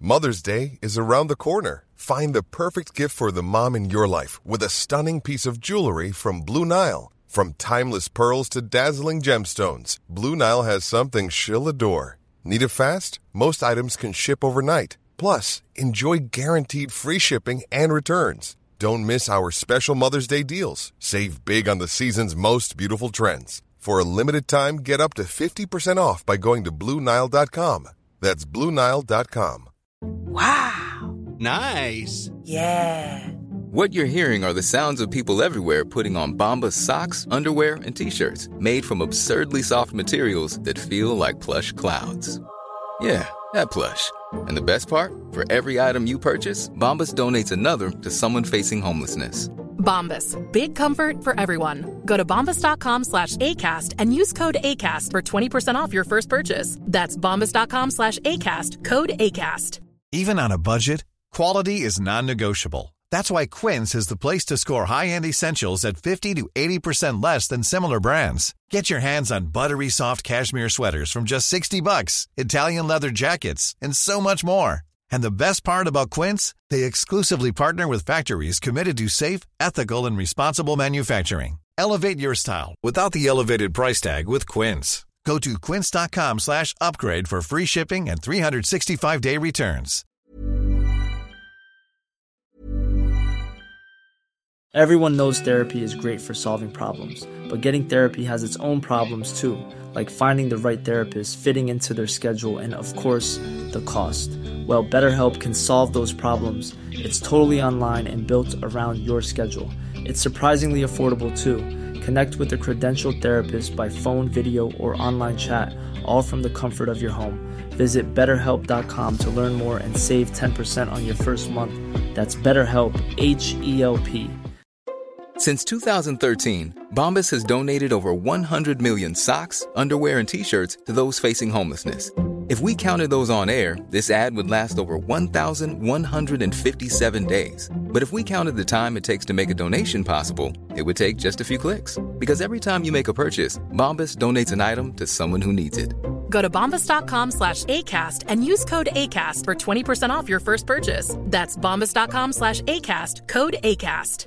Mother's Day is around the corner. Find the perfect gift for the mom in your life with a stunning piece of jewelry from Blue Nile. From timeless pearls to dazzling gemstones, Blue Nile has something she'll adore. Need it fast? Most items can ship overnight. Plus, enjoy guaranteed free shipping and returns. Don't miss our special Mother's Day deals. Save big on the season's most beautiful trends. For a limited time, get up to 50% off by going to Bluenile.com. That's Bluenile.com. Wow! Nice! Yeah! What you're hearing are the sounds of people everywhere putting on Bombas socks, underwear, and t shirts made from absurdly soft materials that feel like plush clouds. Yeah, that plush. And the best part? For every item you purchase, Bombas donates another to someone facing homelessness. Bombas. Big comfort for everyone. Go to bombas.com slash ACAST and use code ACAST for 20% off your first purchase. That's bombas.com slash ACAST, code ACAST. Even on a budget, quality is non negotiable. That's why Quince is the place to score high end essentials at 50 to 80% less than similar brands. Get your hands on buttery soft cashmere sweaters from just 60 bucks, Italian leather jackets, and so much more. And the best part about Quince. They exclusively partner with factories committed to safe, ethical, and responsible manufacturing. Elevate your style without the elevated price tag with Quince. Go to quince.com slash upgrade for free shipping and 365-day returns. Everyone knows therapy is great for solving problems, but getting therapy has its own problems too, like finding the right therapist, fitting into their schedule, and of course, the cost. Well, BetterHelp can solve those problems. It's totally online and built around your schedule. It's surprisingly affordable too. Connect with a credentialed therapist by phone, video, or online chat, all from the comfort of your home. Visit betterhelp.com to learn more and save 10% on your first month. That's BetterHelp, H E L P. Since 2013, Bombas has donated over 100 million socks, underwear, and t shirts to those facing homelessness. If we counted those on air, this ad would last over 1,157 days. But if we counted the time it takes to make a donation possible, it would take just a few clicks. Because every time you make a purchase, Bombas donates an item to someone who needs it. Go to bombas.com slash ACAST and use code ACAST for 20% off your first purchase. That's bombas.com slash ACAST, code ACAST.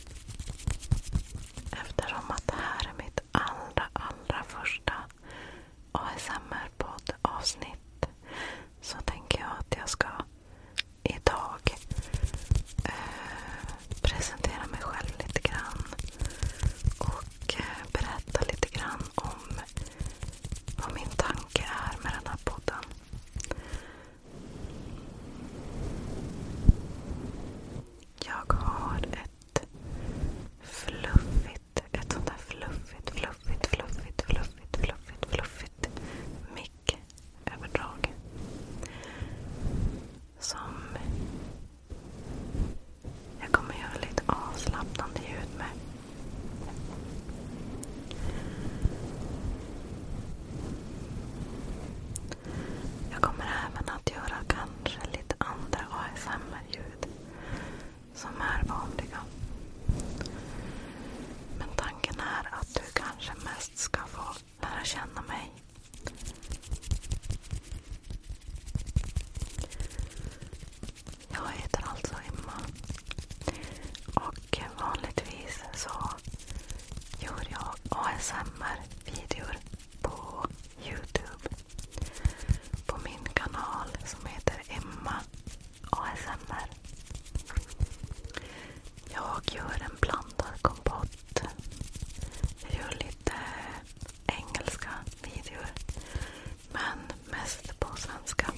Eftersom att det här är mitt allra, allra första ASMR-poddavsnitt så tänker jag att jag ska idag eh, presentera mig själv lite grann och eh, berätta lite grann om vad min tanke är med den här podden. Jag har ett fluffigt, ett sånt där fluffigt, fluffigt, fluffigt, fluffigt, fluffigt, fluffigt mick-överdrag. Som jag kommer göra lite avslappnande ljud med. Jag kommer även att göra kanske lite andra ASMR-ljud som är vanliga. Men tanken är att du kanske mest ska få lära känna mig. Jag heter alltså Emma. Och vanligtvis så gör jag ASMR-videor på Youtube. På min kanal som heter Emma ASMR. Jag gör en blandad kompott. Jag gör lite engelska videor. Men mest på svenska.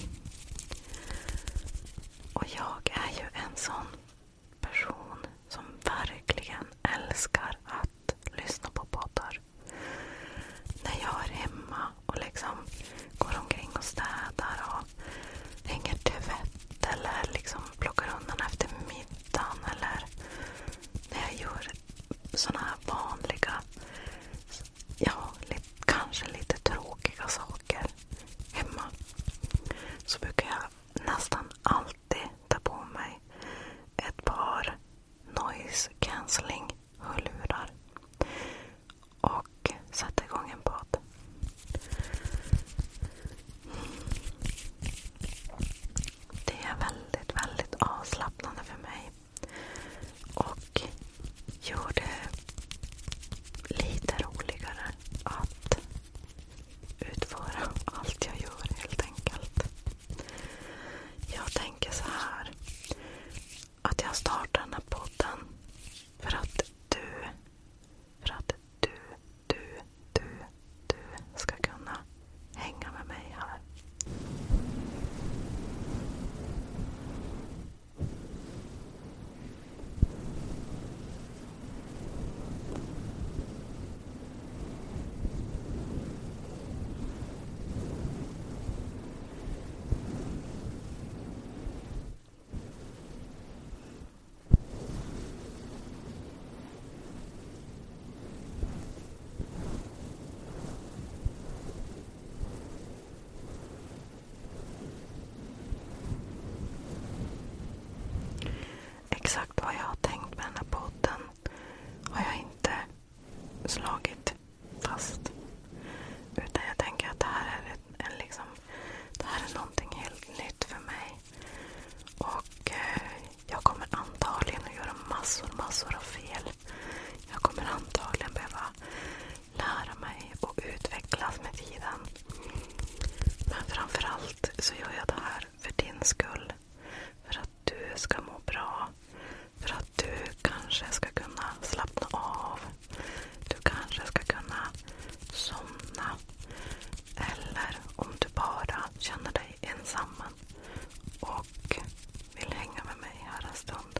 Och jag är ju en sån person som verkligen älskar att lyssna på poddar. När jag är hemma och liksom går omkring och städar och hänger tvätt eller liksom plockar undan efter middagen eller när jag gör sådana här vanliga, ja, lite, kanske lite tråkiga saker hemma så brukar jag nästan alltid alltid ta på mig ett par noise cancelling-hörlurar och sätta igång en podd. Det är väldigt, väldigt avslappnande för mig och gör det lite roligare att utföra allt jag gör helt enkelt. Jag tänker så här. Att jag startar den här podden för att du, för att du, du, du, du ska kunna hänga med mig här. Exakt vad jag har tänkt med den här podden har jag inte slagit fast. Utan jag tänker att det här är, en, en liksom, det här är någonting helt nytt för mig. Och eh, jag kommer antagligen att göra massor, massor av fel. Jag kommer antagligen behöva lära mig och utvecklas med tiden. Men framförallt så gör jag det här för din skull. För att du ska må bra. För att du kanske ska kunna slappna av. Du kanske ska kunna somna. Eller om du bara känner dig ensam och vill hänga med mig här en stund.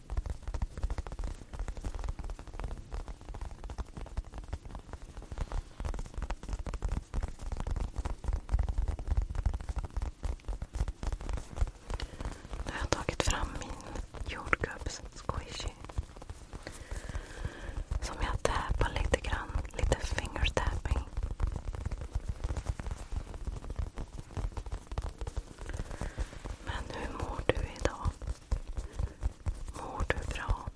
Nu har jag tagit fram min jordgubbs-squishy. Som jag tappar lite grann. Lite fingertapping. Men hur mår du idag? Mår du bra?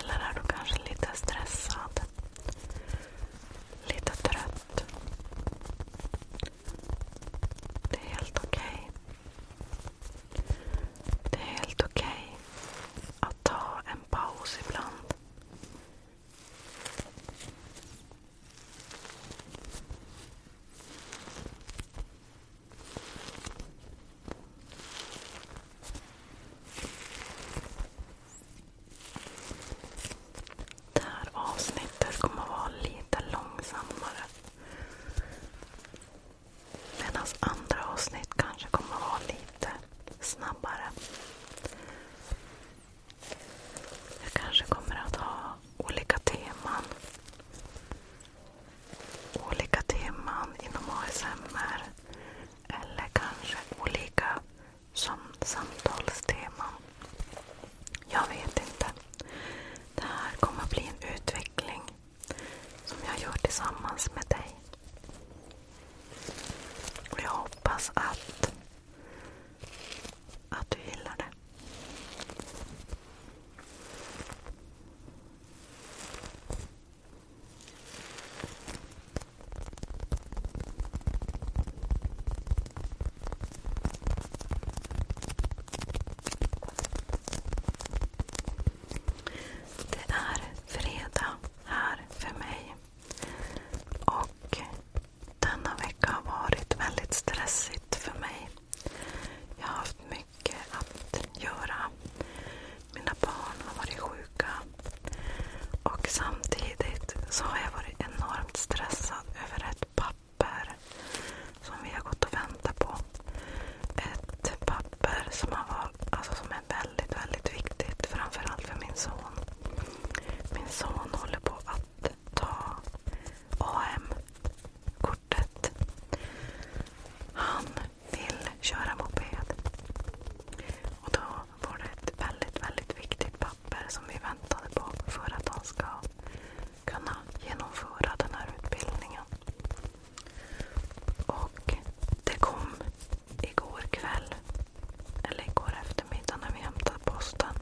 Eller är du kanske lite stressad? Lite trött? Det är helt okej. Okay. Det är helt okej okay att ta en paus ibland. Det här avsnittet kommer att vara lite långsammare. Medan andra avsnitt kanske kommer att vara lite snabbare. Jag kanske kommer att ha olika teman olika teman inom ASMR eller kanske olika samtalsteman. Jag vet inte. Det här kommer bli en utveckling som jag gör tillsammans med dig. jag hoppas att, att du gillar det. Det är fredag här för mig. Och denna vecka har varit väldigt stressigt för mig att göra. Mina barn har varit sjuka. Och samtidigt så har jag varit enormt stressad över ett papper som vi har gått och väntat på. Ett papper som alltså är väldigt, väldigt viktigt. Framförallt för min son. Min son håller på att ta AM kortet. Han vill köra moped. Och då var det ett väldigt, väldigt viktigt papper som vi väntade på för att han ska kunna genomföra den här utbildningen. Och det kom igår kväll, eller igår eftermiddag när vi hämtade posten.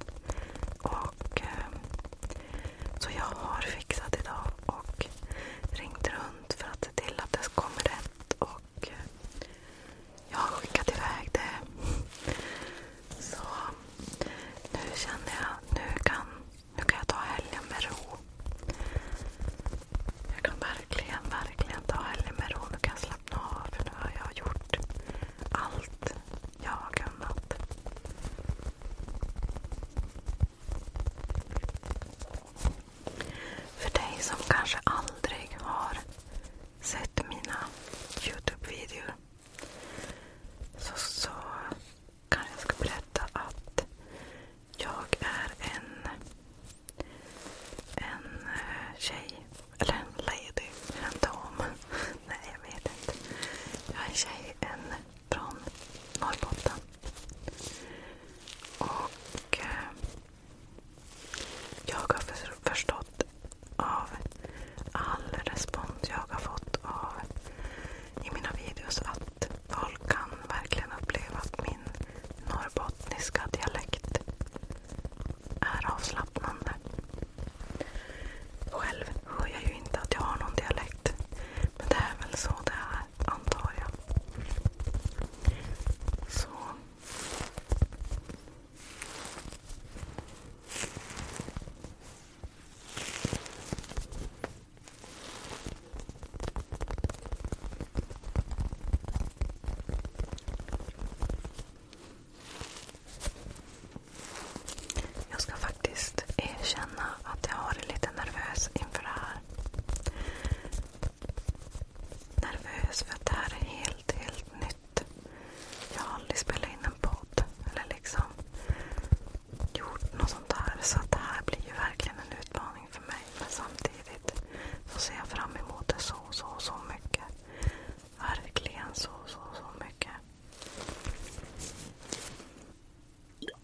Och, ehm, så jag har fixat idag och ringt runt för att se till att det kommer rätt. Och eh, jag har skickat iväg det. Så nu känner jag nu kan, nu kan jag ta helgen med ro. Jag kan verkligen, verkligen ta helgen med ro. Nu kan jag slappna av för nu har jag gjort allt jag har kunnat. För dig som kanske aldrig har sett mina Youtube-videor så, så kanske jag ska berätta att jag är en, en eh, tjej, eller en lady, en dam. Nej, jag vet inte. Jag är en tjej, från Norrbotten. Och eh, jag har förstått av all respons jag har fått av i mina videos att folk kan verkligen uppleva att min norrbottniska dialekt är avslappnande. Själv hör jag ju inte att jag har någon dialekt. Men typ. det är väl så det är, antar jag. Jag ska faktiskt faktiskt erkänna att jag har varit lite nervös inför det här. Nervös för att det här är helt, helt nytt. Jag har aldrig spelat in en podd eller liksom gjort något sånt här. Så att det här blir ju verkligen en utmaning för mig. Men samtidigt så ser jag fram emot det så, så, så mycket. Verkligen så, så, så mycket.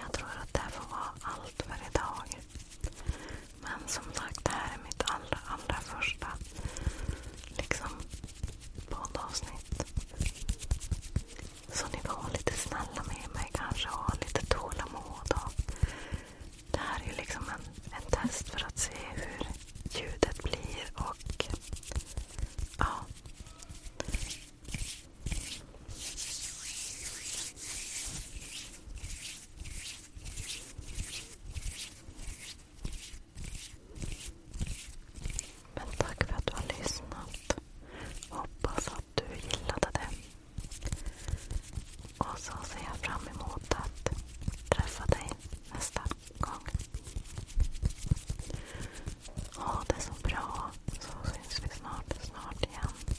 Jag tror att det här får vara allt för idag. Men som sagt, det här är mitt allra, allra första liksom, poddavsnitt. Så ni får vara lite snälla med mig kanske och ha lite tålamod. Och det här är liksom en, en test för att se hur ljudet blir och ja, men tack för att du har lyssnat. Hoppas att du gillade det. Och så ser jag fram emot att träffa dig nästa gång. Ha det så bra, så syns vi snart, snart igen.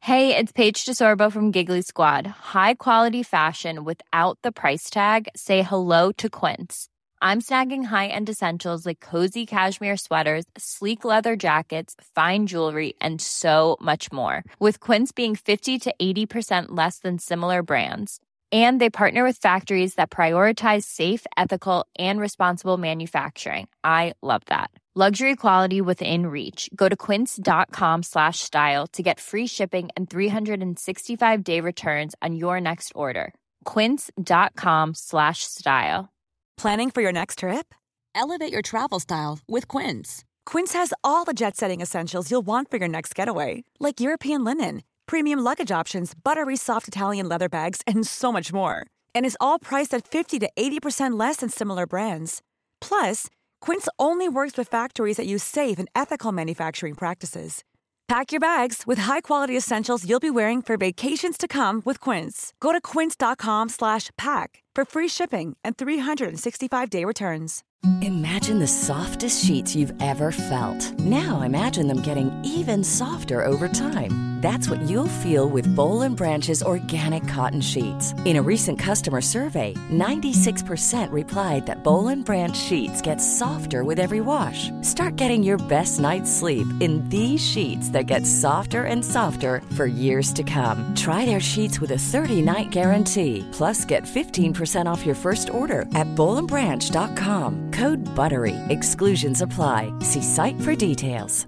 Hey, it's Paige DeSorbo from Giggly Squad. High quality fashion without the price tag. Say hello to Quince. I'm snagging high-end essentials like cozy cashmere sweaters, sleek leather jackets, fine jewelry, and so much more. With Quince being 50 to 80% less than similar brands. And they partner with factories that prioritize safe, ethical, and responsible manufacturing. I love that. Luxury quality within reach. Go to quince.com slash style to get free shipping and 365 day returns on your next order. Quince.com slash style. Planning for your next trip? Elevate your travel style with Quince. Quince has all the jet setting essentials you'll want for your next getaway, like European linen, premium luggage options, buttery soft Italian leather bags, and so much more. And is all priced at 50 to 80% less than similar brands Plus, Quince only works with factories that use safe and ethical manufacturing practices. Pack your bags with high-quality essentials you'll be wearing for vacations to come with Quince. Go to quince.com/pack for free shipping and 365-day returns. Imagine the softest sheets you've ever felt. Now imagine them getting even softer over time. That's what you'll feel with Bowl and Branch's organic cotton sheets. In a recent customer survey, 96% replied that Bolin Branch sheets get softer with every wash. Start getting your best night's sleep in these sheets that get softer and softer for years to come. Try their sheets with a 30-night guarantee. Plus, get 15% off your first order at BolinBranch.com. Code BUTTERY. Exclusions apply. See site for details.